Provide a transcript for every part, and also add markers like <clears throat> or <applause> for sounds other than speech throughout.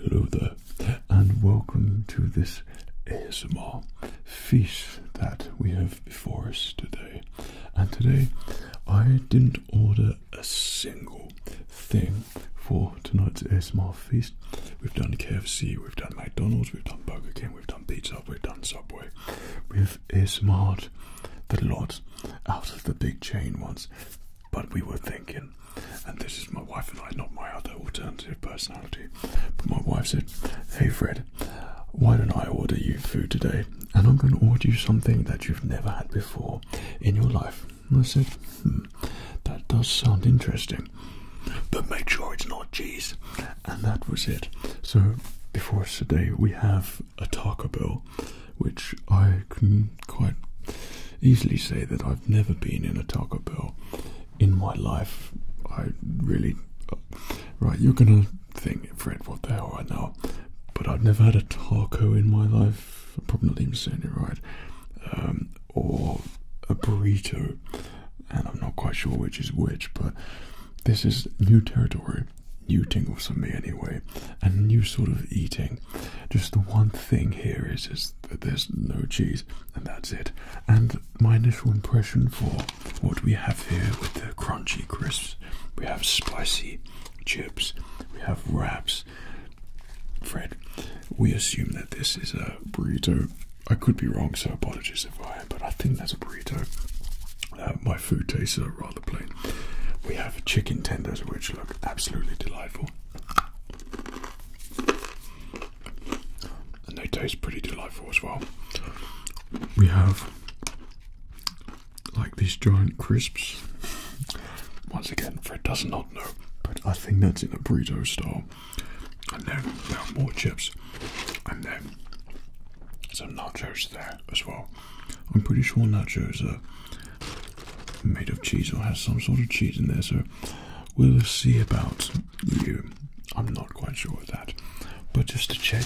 Hello there, and welcome to this ASMR feast that we have before us today. And today I didn't order a single thing for tonight's ASMR feast. We've done KFC, we've done McDonald's, we've done Burger King, we've done Pizza, we've done Subway. We've ASMR'd the lot out of the big chain ones. But we were thinking, and this is my wife and I, not my other alternative personality. But my wife said, Hey Fred, why don't I order you food today? And I'm going to order you something that you've never had before in your life. I said, hmm, that does sound interesting, but make sure it's not cheese. And that was it. So before today, we have a Taco Bell, which I can quite easily say that I've never been in a Taco Bell in my life. I really. Uh, right, you're gonna thing, Fred. What the hell, I know. But I've never had a taco in my life. I'm probably not even saying it right. Um, or a burrito, and I'm not quite sure which is which. But this is new territory, new tingles for me anyway, and new sort of eating. Just the one thing here is is that there's no cheese, and that's it. And my initial impression for what we have here with the crunchy crisps, we have spicy chips, we have wraps. Fred, we assume that this is a burrito. I could be wrong, so apologies if I am, but I think that's a burrito. Uh, my food tastes are rather plain. We have chicken tenders, which look absolutely delightful. And they taste pretty delightful as well we have like these giant crisps. Once again, Fred does not know, but I think that's in a burrito style. And then there are more chips, and then some nachos there as well. I'm pretty sure nachos are made of cheese or has some sort of cheese in there, so we'll see about you. I'm not quite sure of that. But just to check,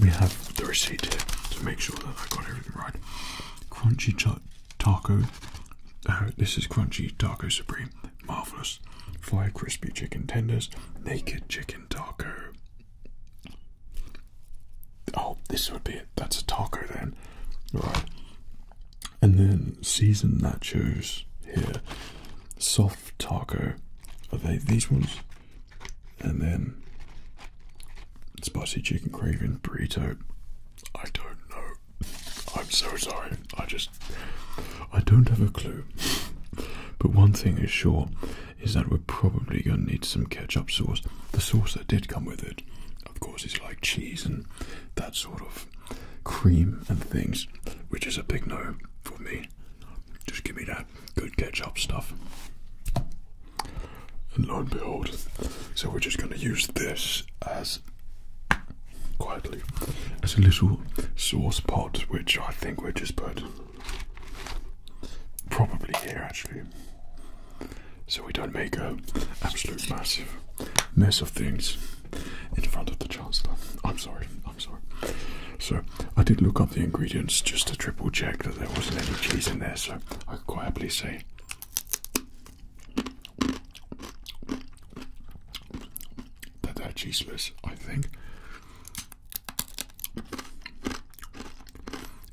we have the receipt here to make sure that I got everything right. Crunchy ch taco. Uh, this is crunchy taco supreme. Marvelous. Five crispy chicken tenders. Naked chicken taco. Oh, this would be it. That's a taco then. Right. And then seasoned nachos here. Soft taco. Are they these ones? and then spicy chicken craving burrito. I don't know. I'm so sorry. I just I don't have a clue. But one thing is sure is that we're probably going to need some ketchup sauce. The sauce that did come with it, of course, is like cheese and that sort of cream and things, which is a big no for me. Just give me that good catch up stuff. And lo and behold, so we're just going to use this as quietly as a little sauce pot, which I think we are just put probably here actually, so we don't make a absolute massive mess of things in front of the chancellor. I'm sorry, I'm sorry. So I did look up the ingredients just to triple check that there wasn't any cheese in there. So I could quite happily say that that cheese was. I think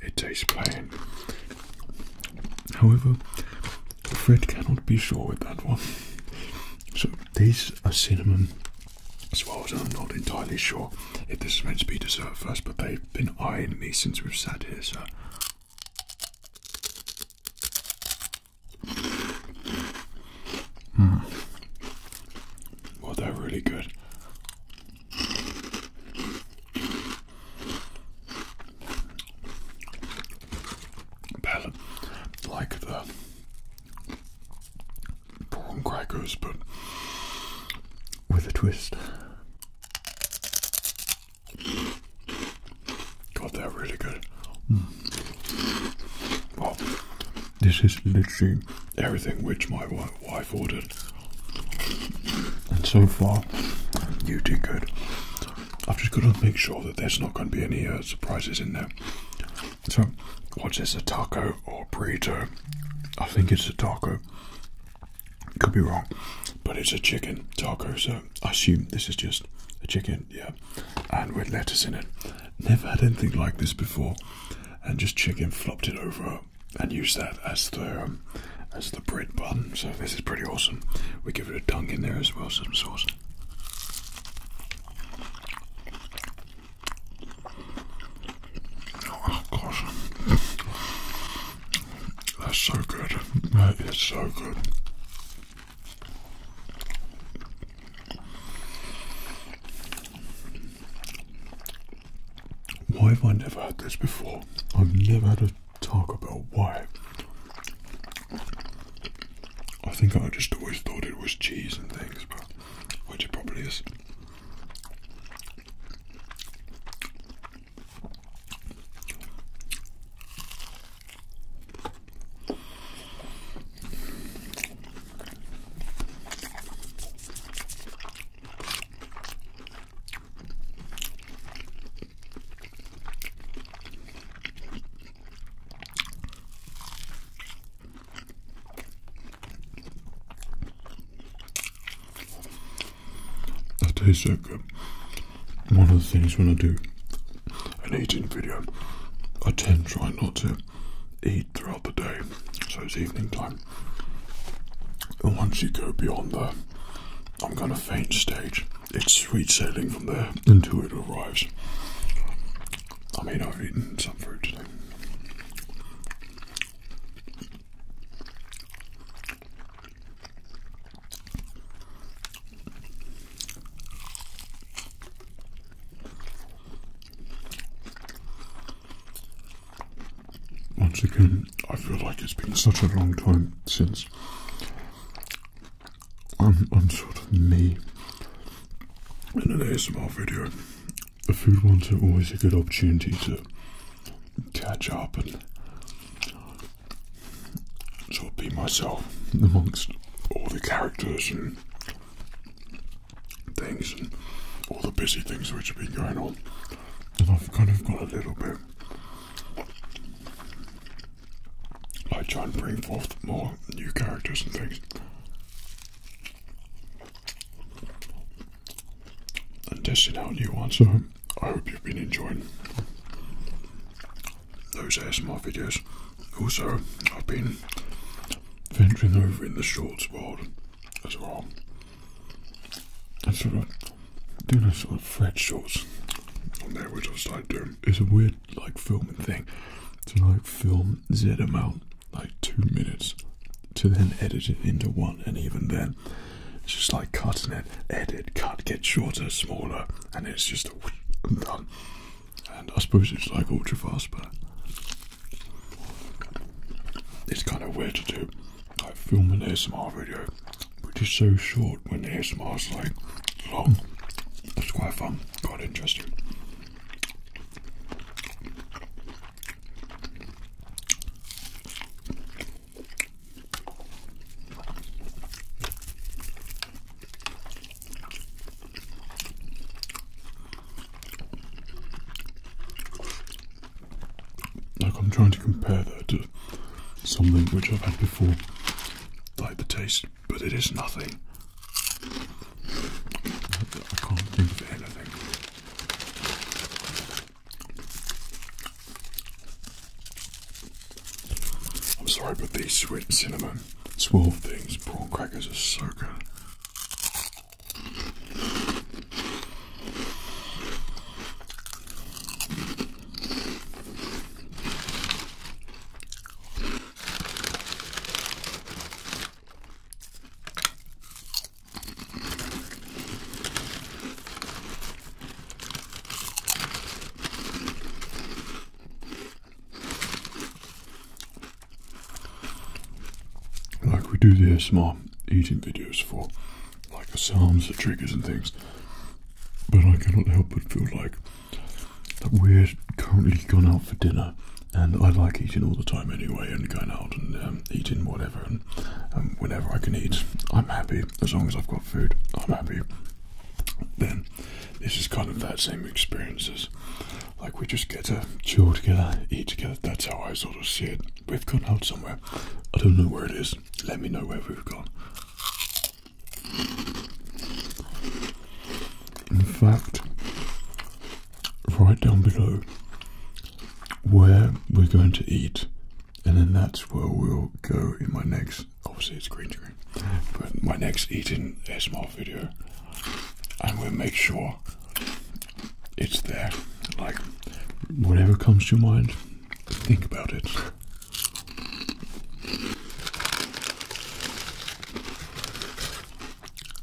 it tastes plain. However, Fred cannot be sure with that one. So these are cinnamon as far as I'm not entirely sure if this is meant to be dessert first, but they've been eyeing me since we've sat here, sir. Mm. Well, they're really good. Better like the prawn crackers, but with a twist. God, they're really good. Hmm. this is literally everything which my wife ordered. And so far, you did good. I've just got to make sure that there's not going to be any uh, surprises in there. So, what is a taco or burrito? I think it's a taco. Could be wrong, but it's a chicken taco. So I assume this is just a chicken, yeah, and with lettuce in it. Never had anything like this before, and just chicken flopped it over and used that as the um, as the bread bun. So this is pretty awesome. We give it a dunk in there as well, some sauce. Oh gosh, that's so good. That is so good. Why have I never had this before? I've never had a Taco Bell. Why? I think I just always thought it was cheese and things, but which it probably is. That tastes so good. One of the things when I do an eating video, I tend to try not to eat throughout the day, so it's evening time. And once you go beyond that, I'm going to faint stage. It's sweet sailing from there until it arrives. I mean, I've eaten some food today. Once again, I feel like it's been such a long time since I'm, I'm sort of me in an ASMR video the food ones are always a good opportunity to catch up and sort of be myself amongst all the characters and things and all the busy things which have been going on. And I've kind of got a little bit. I try and bring forth more new characters and things and testing out new ones, So I hope you've been enjoying those ASMR videos. Also, I've been venturing over in the shorts world as well. And sort of doing a sort of thread shorts on there, which I like doing. It's a weird like filming thing to like film Z amount like two minutes to then edit it into one, and even then, it's just like cutting it, edit, cut, get shorter, smaller, and it's just whoosh, done. And I suppose it's like ultra fast, but it's kind of weird to do. Like film an ASMR video, which is so short when ASMR is like long. It's quite fun, quite interesting. Like I'm trying to compare that to something which I've had before, like the taste, but it is nothing. I can't think of anything. I'm sorry, but these sweet cinnamon swirl things, prawn crackers are so good. Like we do this, mom, eating videos for like the sounds, the triggers and things. But I cannot help but feel like that we're currently gone out for dinner and I like eating all the time anyway, and going out and um, eating whatever, and um, whenever I can eat, I'm happy. As long as I've got food, I'm happy. Then this is kind of that same experience as like we just get to chill together, eat together. That's how I sort of see it. We've gone out somewhere. I don't know where it is. Let me know where we've gone. In fact, Right down below where we're going to eat, and then that's where we'll go in my next. Obviously, it's green screen, but my next eating a small video, and we'll make sure it's there. Like whatever comes to mind, think about it.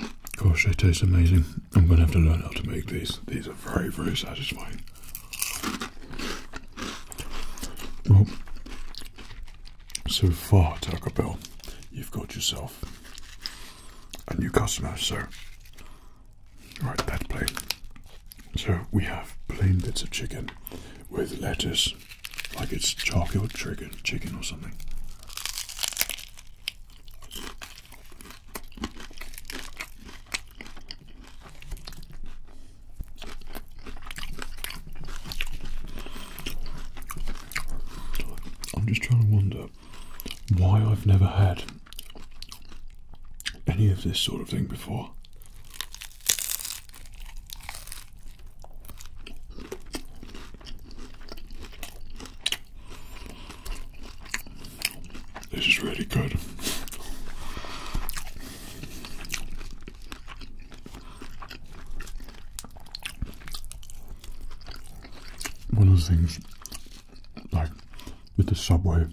Of course, they taste amazing. I'm gonna have to learn how to make these. These are very, very satisfying. Well, so far, Taco Bell, you've got yourself a new customer. So, right, that plain. So we have plain bits of chicken with lettuce, like it's charcoal chicken, chicken or something. I'm just trying to wonder why I've never had any of this sort of thing before. This is really good. One of the things, like with the subway,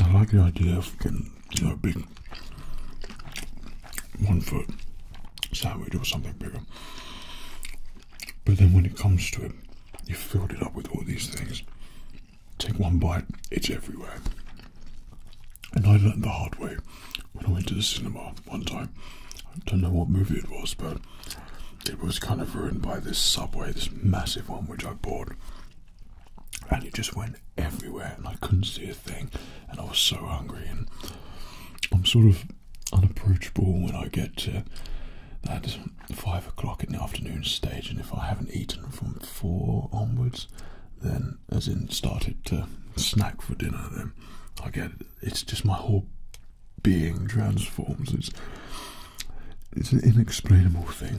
I like the idea of getting, you know, big one foot sandwich or something bigger. But then when it comes to it, you've filled it up with all these things. Take one bite, it's everywhere. And I learned the hard way when I went to the cinema one time. I don't know what movie it was, but it was kind of ruined by this subway, this massive one which I bought. And it just went everywhere, and I couldn't see a thing, and I was so hungry. And I'm sort of unapproachable when I get to uh, that five o'clock in the afternoon stage, and if I haven't eaten from four onwards, then as in started to snack for dinner, then I get it's just my whole being transforms. It's it's an inexplainable thing.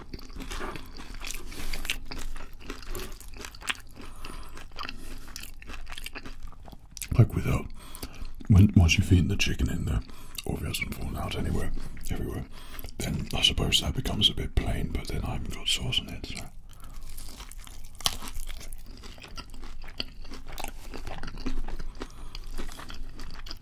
Like without, uh, once you've eaten the chicken in there, or if it hasn't fallen out anywhere, everywhere, then I suppose that becomes a bit plain. But then I haven't got sauce in it, so.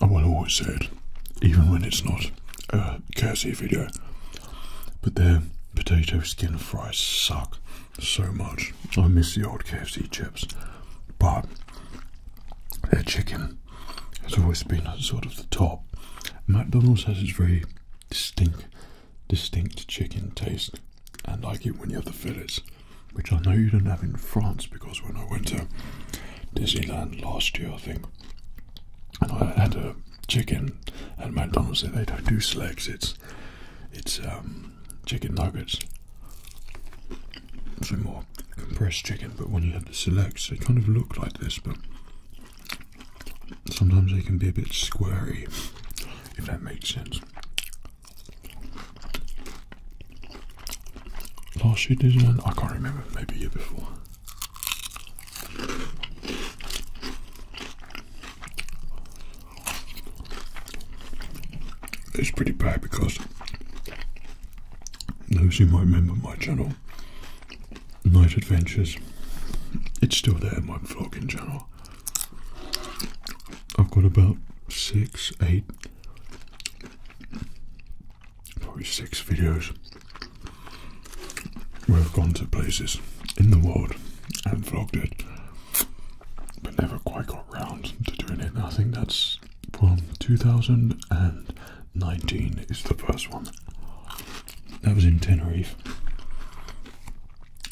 I will always say it, even when it's not a KFC video, but their potato skin fries suck so much. I miss the old KFC chips, but their chicken has always been sort of the top. McDonald's has its very distinct distinct chicken taste. and like it when you have the fillets, which I know you don't have in France because when I went to Disneyland last year, I think, and I had a chicken at McDonald's, and they don't do slacks. It's it's um, chicken nuggets. So more compressed chicken, but when you have the selects, they kind of look like this, but sometimes they can be a bit squarey, if that makes sense. Last year did one. I can't remember. Maybe a year before. It's pretty bad because those who might remember my channel, Night Adventures, it's still there, my vlogging channel. I've got about six, eight, probably six videos where I've gone to places in the world and vlogged it, but never quite got round to doing it. I think that's from 2019 is the first one. That was in Tenerife.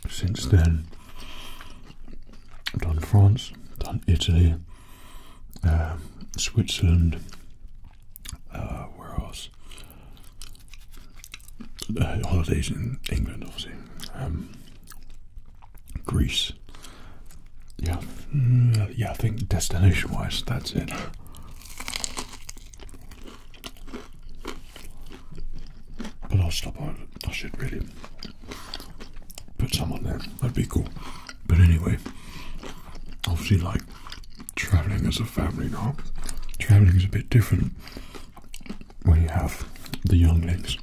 Since then, done France, done Italy, um, Switzerland, uh, where else? Uh, holidays in England, obviously, um, Greece. Yeah, mm, yeah. I think destination-wise, that's it. But I'll stop I should really put some on there. That'd be cool. But anyway, obviously, like traveling as a family now, traveling is a bit different when you have the younglings.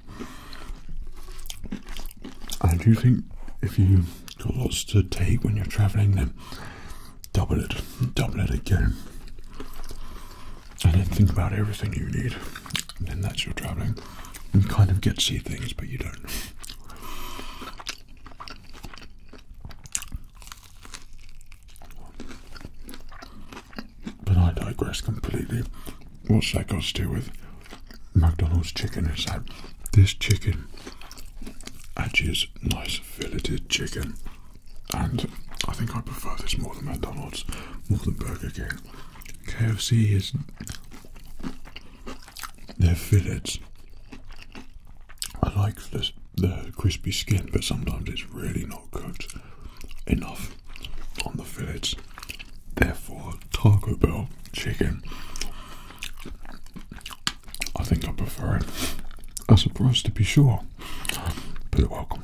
I do think if you got lots to take when you're traveling, then double it, double it again and then think about everything you need, and then that's your traveling. You kind of get to see things, but you don't. But I digress completely. What's that got to do with McDonald's chicken? Is that this chicken actually is nice filleted chicken, and I think I prefer this more than McDonald's, more than Burger King. KFC is their fillets. I like the, crispy skin, but sometimes it's really not cooked enough on the fillets. Therefore, Taco Bell chicken, I think I prefer it. A surprise to be sure, but welcome.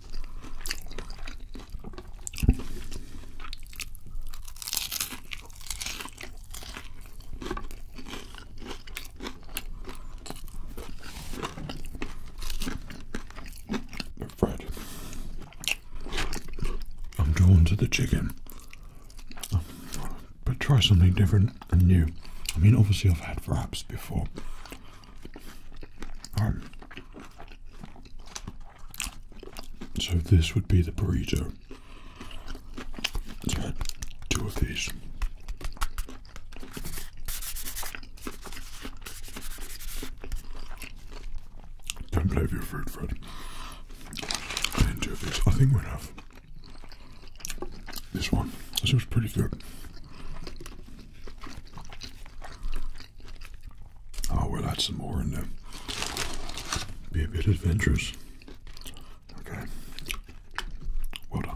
Fred, I'm drawn to the chicken, but try something different and new. I mean, obviously, I've had wraps before, um, so this would be the burrito. two of these. Don't play with your food, Fred. two of these. I think we'll have this one. This was pretty good. I'll oh, wear that some more and uh, be a bit adventurous. Okay. Well done.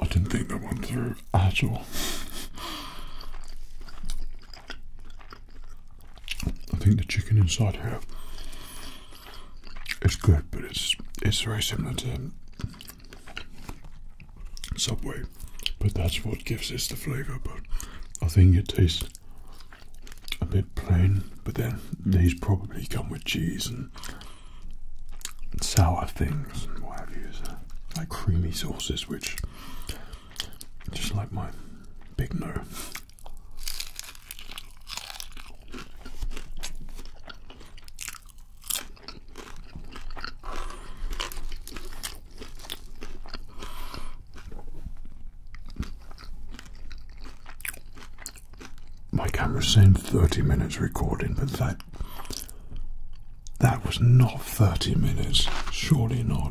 I didn't think that went through at all. I think the chicken inside here, it's good, but it's it's very similar to Subway, but that's what gives this the flavour. But I think it tastes a bit plain, but then these probably come with cheese and sour things and what have you, like creamy sauces, which just like my big no. My camera saying 30 minutes recording, but that that was not 30 minutes. Surely not. <laughs>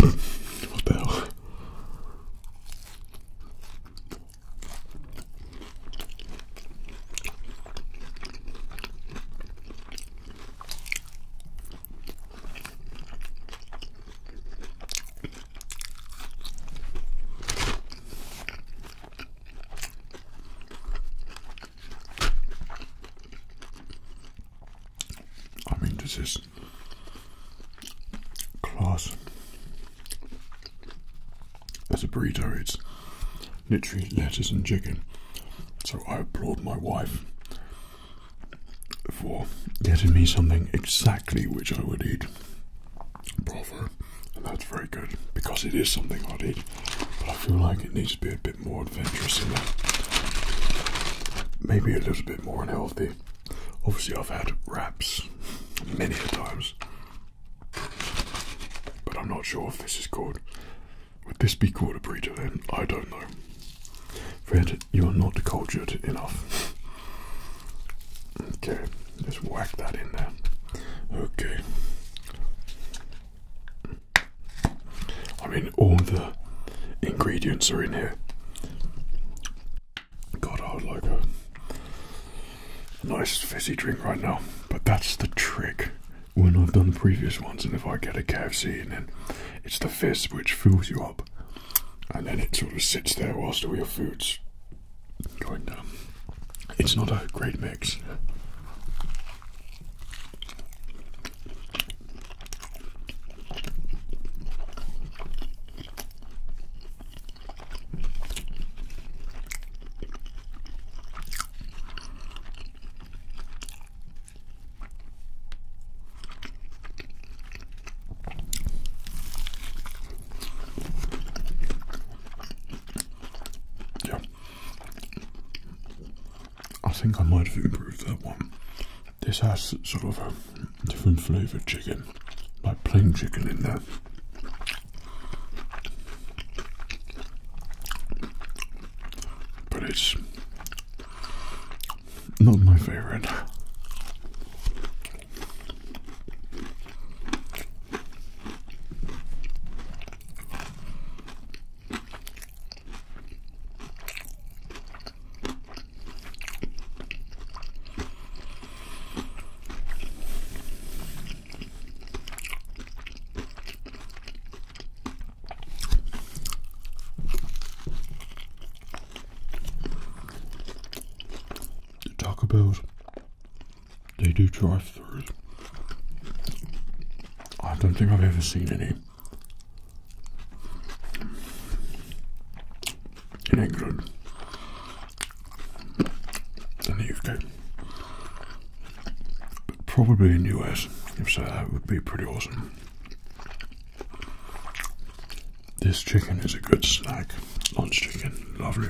what the hell? I mean, this is class as a burrito. It's literally lettuce and chicken. So I applaud my wife for getting me something exactly which I would eat. Bravo. And that's very good because it is something I'd eat. But I feel like it needs to be a bit more adventurous in that. Maybe a little bit more unhealthy. Obviously, I've had wraps many times. But I'm not sure if this is good. Would this be called a burrito then? I don't know. Fred, you are not cultured enough. Okay, just whack that in there. Okay. I mean, all the ingredients are in here. God, I would like a, nice fizzy drink right now. But that's the trick when I've done the previous ones, and if I get a KFC and then it's the fizz which fills you up and then it sort of sits there whilst all your food's going down. It's not a great mix. Yeah. I think I might have improved that one. This has sort of a different flavoured chicken, like plain chicken in there. But it's not my favorite. Talk about they do drive through. I don't think I've ever seen any in England, in the UK, but probably in the US. If so, that would be pretty awesome. This chicken is a good snack. Lunch chicken, lovely.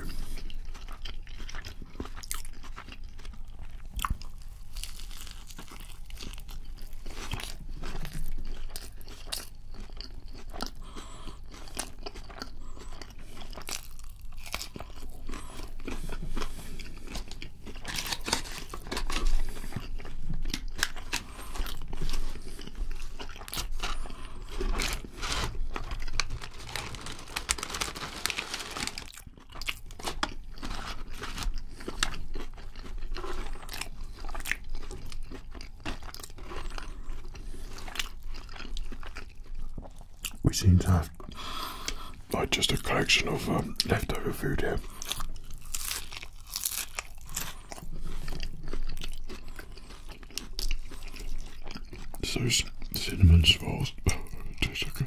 We seem to have like just a collection of um, leftover food here. Those cinnamon swirls oh, taste so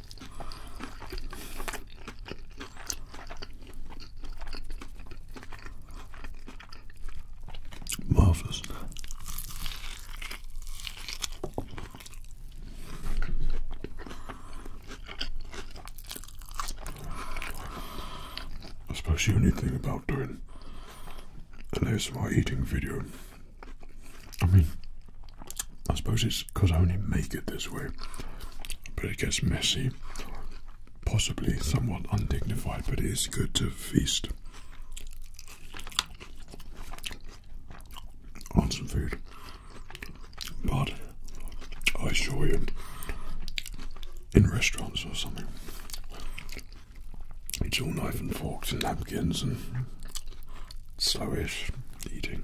Marvelous. I suppose the only thing about doing an my eating video, I mean, I suppose it's because I only make it this way, but it gets messy, possibly somewhat undignified, but it is good to feast on some food. But I assure you, in restaurants or something, it's all knife and forks and napkins and slowish eating.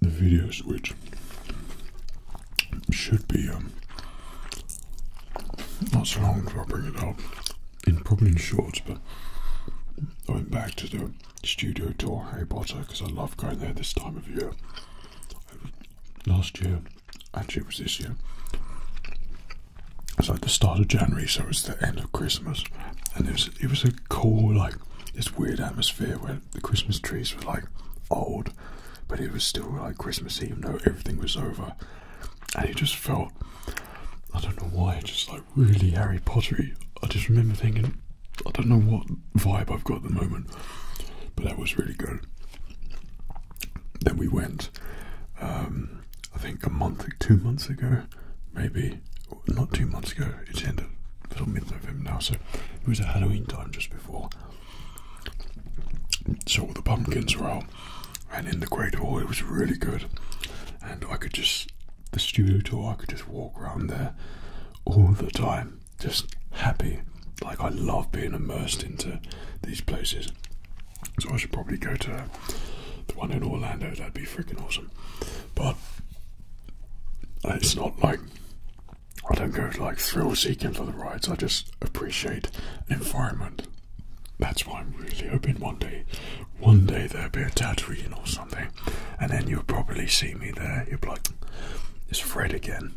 the video switch should be um, not so long until I bring it up. In probably in shorts, but I went back to the studio tour Harry Potter because I love going there this time of year. Last year, actually, it was this year. It was like the start of January, so it was the end of Christmas, and it was it was a cool like this weird atmosphere where the Christmas trees were like old but it was still like Christmas Eve. though everything was over, and it just felt. I don't know why, just like really Harry Pottery. I just remember thinking, I don't know what vibe I've got at the moment, but that was really good. Then we went, um, I think a month, two months ago, maybe, not two months ago, it's end of, it's mid November now, so it was a Halloween time just before. So the pumpkins were roll, and in the Great Hall it was really good, and I could just the studio tour I could just walk around there all the time, just happy. Like I love being immersed into these places, so I should probably go to the one in Orlando. That'd be freaking awesome, but uh, it's not like I don't go like thrill seeking for the rides. I just appreciate environment. That's why I'm really hoping one day, one day there'll be a Tatooine or something, and then you'll probably see me there. You'll be like, "It's Fred again.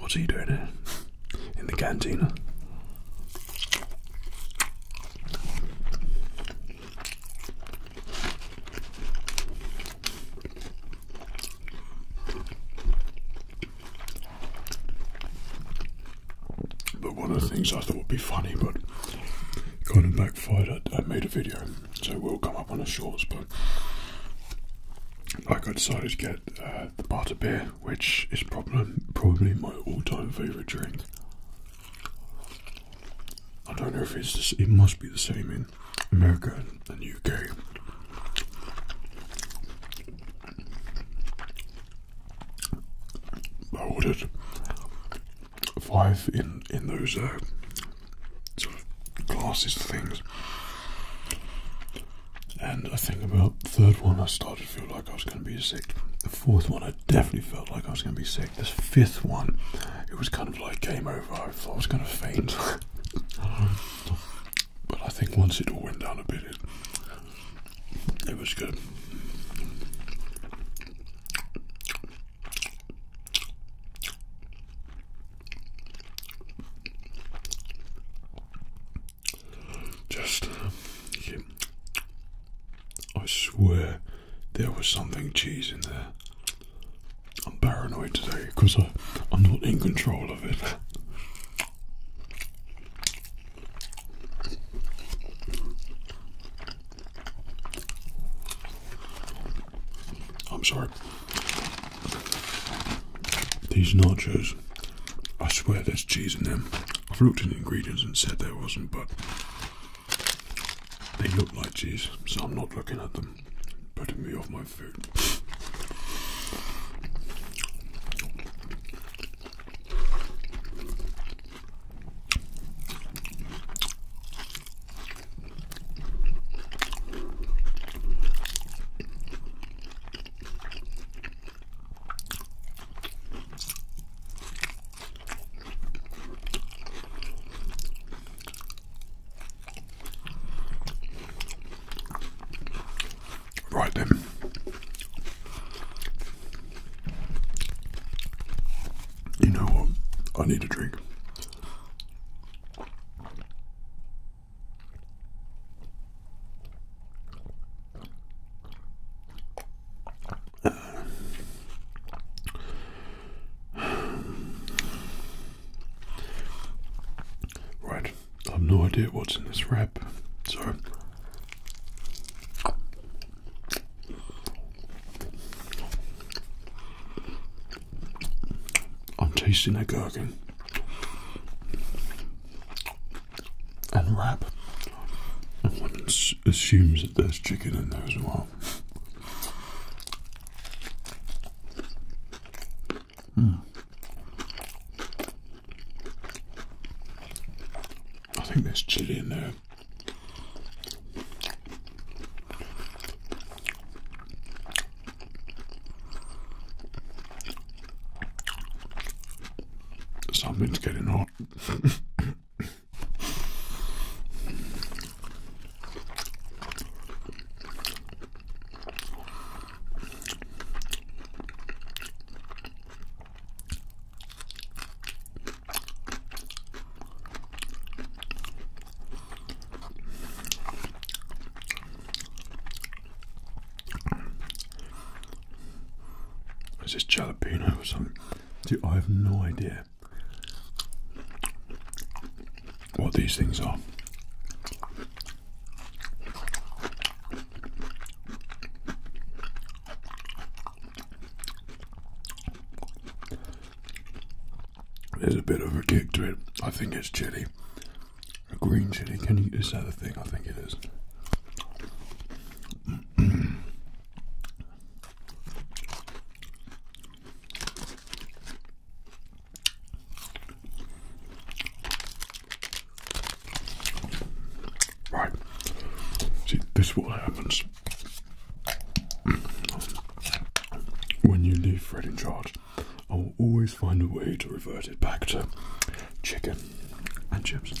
What's he doing here in the cantina? But one of the things I thought would be funny, but kind of backfired, I, made a video, so it will come up on the shorts. But like, I decided to get uh, the butter beer, which is probably, my all time favourite drink. I don't know if it's the, it must be the same America and the UK. I ordered five in in those uh, glasses things, and I think about the third one I started to feel like I was going to be sick. The fourth one I definitely felt like I was going to be sick. This fifth one, it was kind of like game over. I thought I was going to faint. <laughs> But I think once it all went down a bit, it, was good. Just, I swear there was something cheese in there. I'm paranoid today because I'm not in control of it. I'm sorry. These nachos, I swear there's cheese in them. I've looked in the ingredients and said there wasn't, but they look like cheese, so I'm not looking at them putting me off my food. Right then. You know what? I need a drink. Right, I have no idea what's in this wrap, so I'm tasting that gherkin and wrap. assumes that there's chicken in there as well. Hmm. I think there's chili in there. Something's getting hot. Is this jalapeno or something? Dude, I have no idea what these things are. There's a bit of a kick to it. I think it's chili. green chili. Can you is that a thing? I think it is. Right. See, this is what happens when you leave Fred in charge. I will always find a way to revert it back to chicken and chips.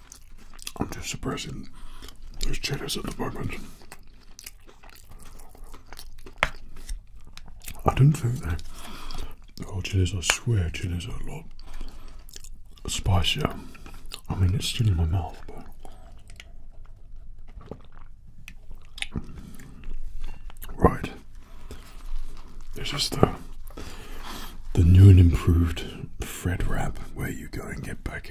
I'm just suppressing those chilies at the moment. I don't think they. oh chilies, I swear chilies are a lot spicier. I mean it's still in my mouth but Right. This is the the new and improved Fred wrap where you go and get back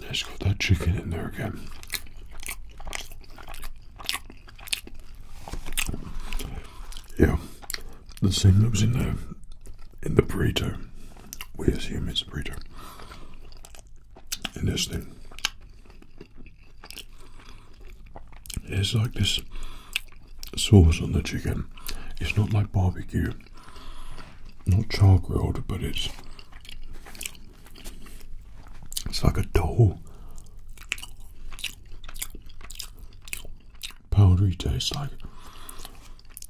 Let's got that chicken in there again. Yeah, the same that was in the in the burrito. We assume it's a burrito. In this thing. It's like this sauce on the chicken. It's not like barbecue. Not char grilled, but it's it's like a dough. Powdery taste, like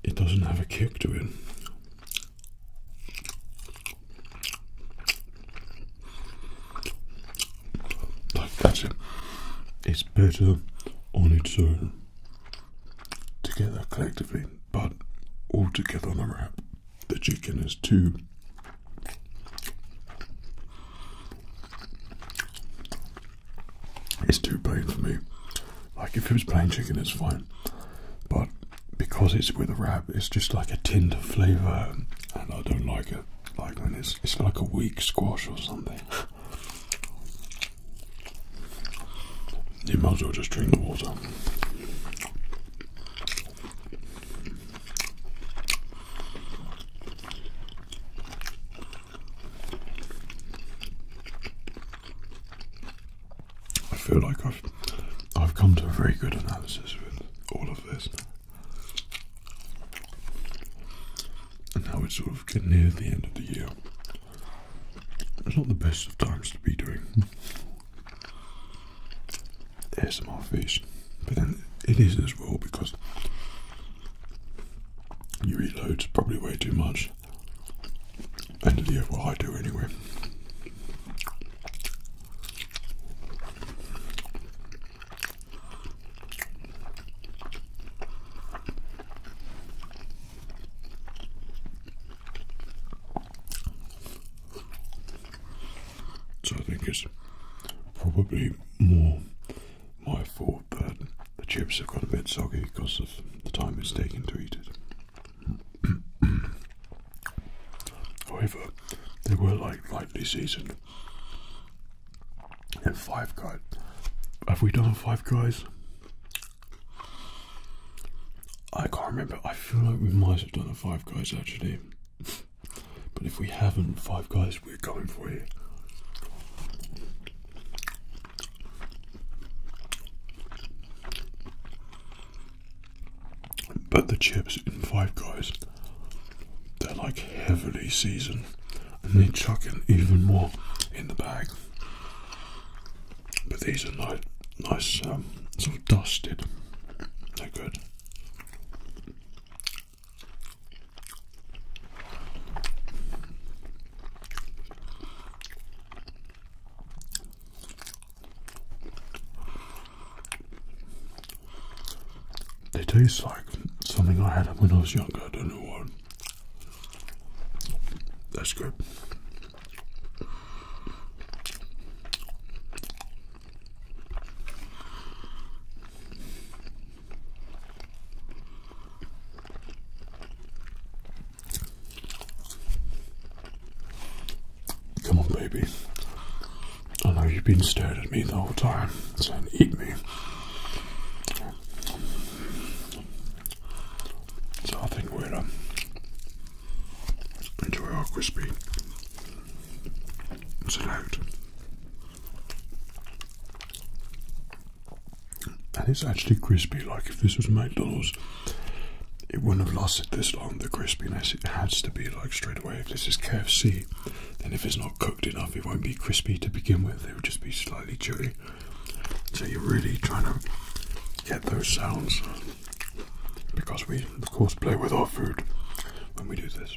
it doesn't have a kick to it. that's it. It's better on its own, together collectively, but all together on a wrap. The chicken is too. It's too bad for me. Like if it was plain chicken, it's fine, but because it's with a wrap, it's just like a tint of flavour, and I don't like it. Like when it's it's like a weak squash or something. you might as well just drink the water. I feel like I've I've come to a very good analysis with all of this. And now we're sort of getting near the end of the year. It's not the best of times to be doing there's more fish, but then it is as well because you eat loads, probably way too much. And yeah, well, I do anyway. So I think it's probably more my fault that the chips have got a bit soggy because of the time it's taken to eat it. <clears throat> However, they were like lightly seasoned. And Five Guys. Have we done Five Guys? I can't remember. I feel like we might have done a Five Guys actually, but if we haven't, Five Guys, we're going for it. But the chips in Five Guys, they're like heavily seasoned, and they are chucking even more in the bag. But these are nice, nice um, sort of dusted. They're good. They taste like something I had when I was younger. I don't know what. That's good. Come on, baby. I know you've been staring at me the whole time, saying, Eat me. So I think we're um, Enjoy our crispy salad. And it's actually crispy, like if this was McDonald's, it wouldn't have lasted this long, the crispiness. It has to be like straight away. If this is KFC, then if it's not cooked enough, it won't be crispy to begin with. It would just be slightly chewy. So you're really trying to get those sounds because we, of course, play with our food when we do this.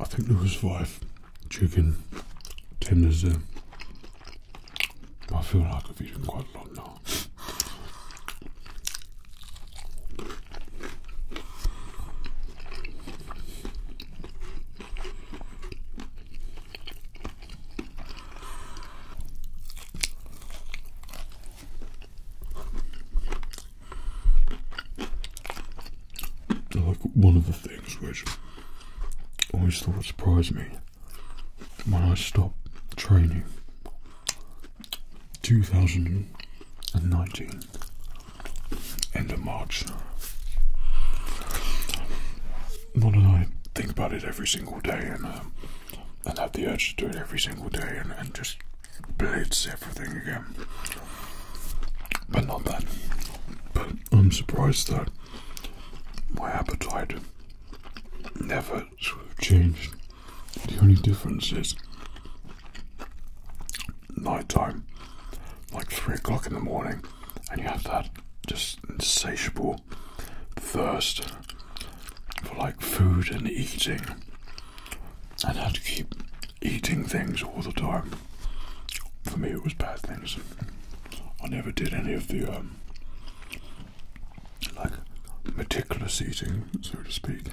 I think there was five chicken tenders there. Uh, I feel like I've eaten quite a lot now. Like one of the things which always sort of surprised me when I stopped training 2019 end of March. Not that I think about it every single day and uh, and have the urge to do it every single day and just blitz everything again. But not that. But I'm surprised that my appetite never sort of changed. The only difference is night time, like three o'clock in the morning, and you have that just insatiable thirst for like food and eating, and had to keep eating things all the time. For me, it was bad things. I never did any of the um, like meticulous eating, so to speak.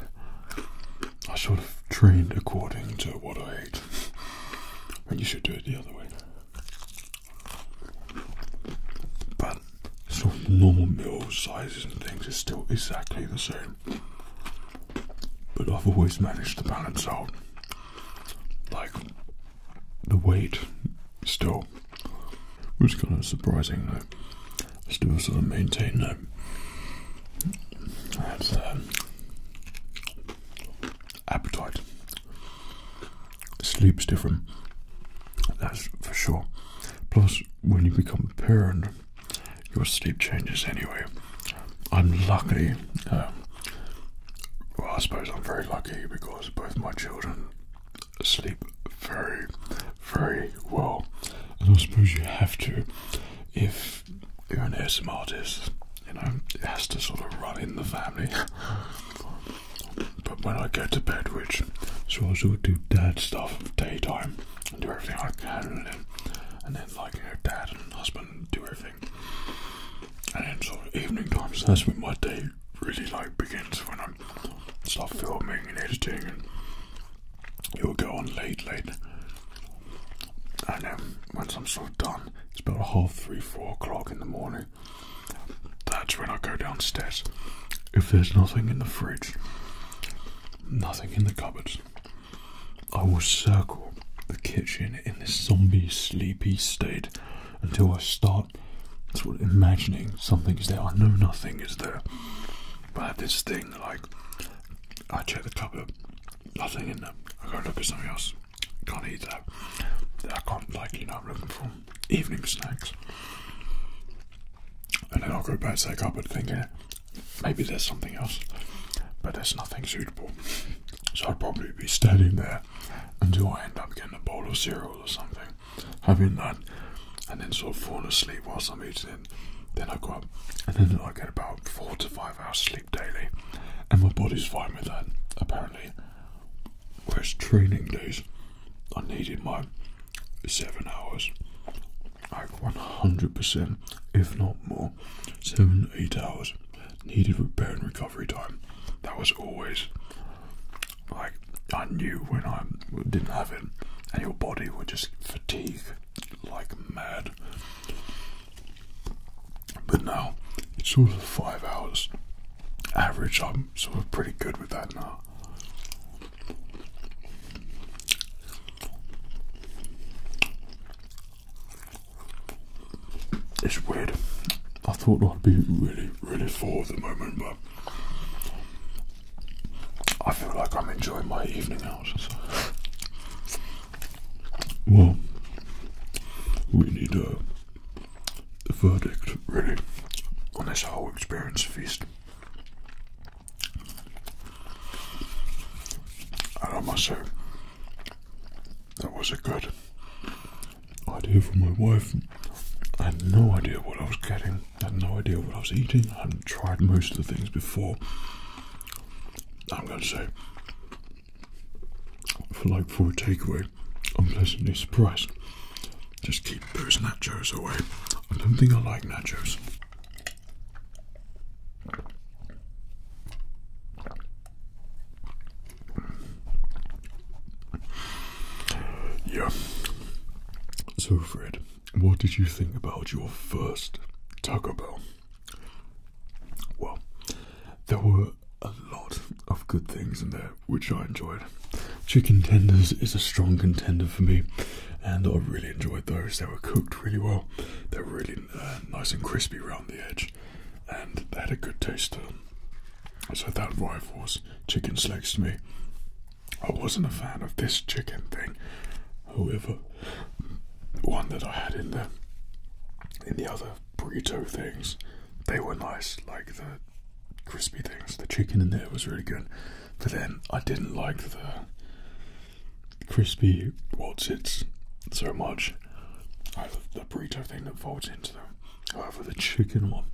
I sort of trained according to what I ate, and you should do it the other way. But sort of normal meal sizes and things is still exactly the same but I've always managed to balance out like the weight still which is kind of surprising though still sort of maintain that um, appetite sleep's different that's for sure plus when you become a parent your sleep changes anyway. I'm lucky. Um, well, I suppose I'm very lucky because both my children sleep very, very well. And I suppose you have to if you're an ASMR artist. You know, it has to sort of run in the family. but when I get to bed, which so I do dad stuff daytime, and do everything I can, and then, and then like her dad and husband do everything. And then sort evening times, so that's when my day really like begins when I start filming and editing, and it'll go on late, late. And then once I'm sort of done, it's about half three, four o'clock in the morning. That's when I go downstairs. If there's nothing in the fridge, nothing in the cupboards, I will circle the kitchen in this zombie sleepy state until I start sort of imagining something is there. I know nothing is there, but I have this thing like I check the cupboard, nothing in there. I go look at something else. Can't eat that. I can't like you know I'm looking for evening snacks. And then I'll go back to that cupboard thinking Maybe there's something else, but there's nothing suitable. So I'll probably be standing there until I end up getting a bowl of cereals or something, having that, and then sort of fall asleep whilst I'm eating it. Then I go up, and then I get about four to five hours sleep daily, and my body's fine with that, apparently. Whereas training days, I needed my seven hours like 100%, if not more, seven eight hours needed repair and recovery time. That was always like I knew when I didn't have it, and your body would just fatigue like mad. But now it's sort of five hours average. I'm sort of pretty good with that now. It's weird. I thought I'd be really, really full at the moment, but I feel like I'm enjoying my evening out. Well, we need a, a verdict, really, on this whole experience feast. I must say, that was a good idea from my wife. I had no idea what I was getting. I had no idea what I was eating. I hadn't tried most of the things before. I'm going to say, for like for a takeaway, I'm pleasantly surprised. Just keep those nachos away. I don't think I like nachos. Yeah. So, Fred, what did you think about your first Taco Bell? Well, there were a lot of good things in there which I enjoyed. Chicken tenders is a strong contender for me, and I really enjoyed those. They were cooked really well. They're really uh, nice and crispy around the edge, and they had a good taste to them. Um, so that was chicken slakes to me. I wasn't a fan of this chicken thing, however, one that I had in the in the other burrito things, they were nice. Like the crispy things, the chicken in there was really good. But then I didn't like the crispy what's it so much. the burrito thing that folds into them. However, the chicken one,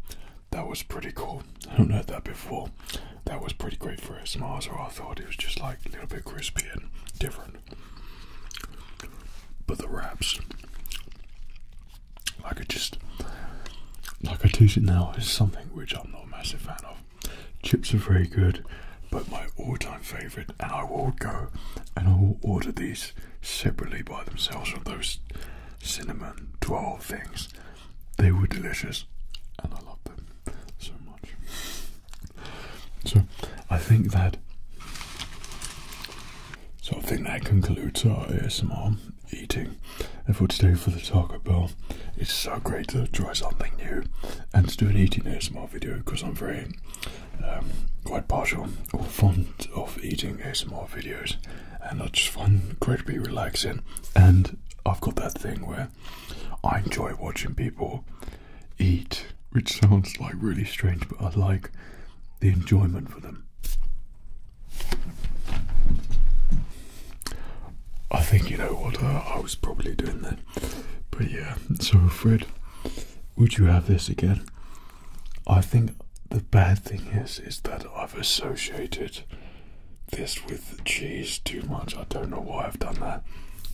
that was pretty cool. I haven't heard that before. That was pretty great for ASMR, so I thought it was just like a little bit crispy and different. But the wraps, like I just, like I taste it now, is something which I'm not a massive fan of. Chips are very good, but my all-time favourite, and I will go and I will order these separately by themselves of those cinnamon twirl things. They were delicious, and I love them so much. So I think that. So I think that concludes our ASMR eating. And for today, for the Taco Bell, it's so great to try something new and to do an eating ASMR video because I'm very um, quite partial or fond of eating ASMR videos and I just find it be relaxing and I've got that thing where I enjoy watching people eat which sounds like really strange but I like the enjoyment for them. I think you know what uh, I was probably doing there, But yeah, so Fred, would you have this again? I think the bad thing is, is that I've associated this with cheese too much. I don't know why I've done that.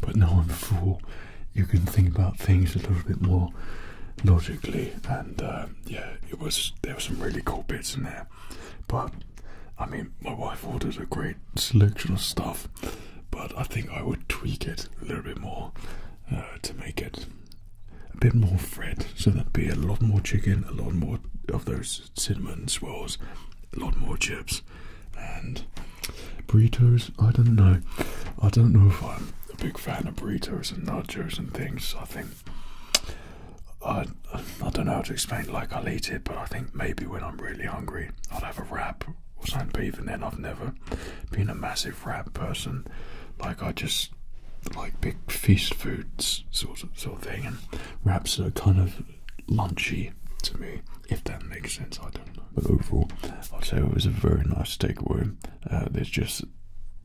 But now I'm full. You can think about things a little bit more logically. And uh, yeah, it was there were some really cool bits in there. But I mean, my wife ordered a great selection of stuff, but I think I would tweak it a little bit more uh, to make it a bit more fried. So there would be a lot more chicken, a lot more of those cinnamon swirls, a lot more chips, and burritos. I don't know. I don't know if I'm a big fan of burritos and nachos and things. I think. I, I don't know how to explain. Like I'll eat it, but I think maybe when I'm really hungry i would have a wrap or something, but even then, I've never been a massive wrap person. Like, I just like big feast foods sort of, sort of thing, and wraps are kind of lunchy to me, if that makes sense. I don't know. But overall, I'd say it was a very nice takeaway. Uh, there's just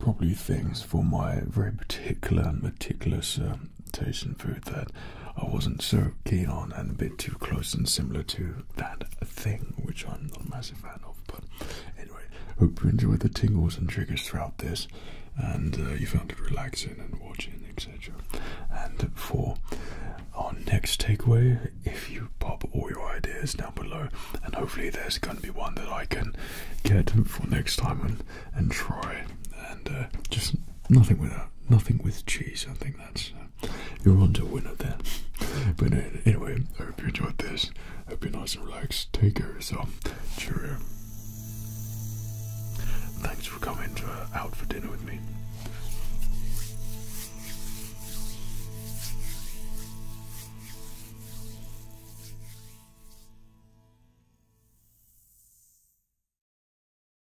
probably things for my very particular and meticulous um, tasting food that I wasn't so keen on and a bit too close and similar to that thing, which I'm not a massive fan of. But anyway, hope you enjoyed the tingles and triggers throughout this and uh, you found it relaxing and watching, etc. And for our next takeaway, if you pop all your ideas down below, and hopefully there's going to be one that I can get for next time and, and try. And uh, just nothing with nothing with cheese, I think think that's uh, you're onto a winner there. <laughs> But uh, anyway, I hope you enjoyed this. Hope you're nice and relaxed. Take care of yourself. Cheerio. Thanks for coming to, uh, out for dinner with me.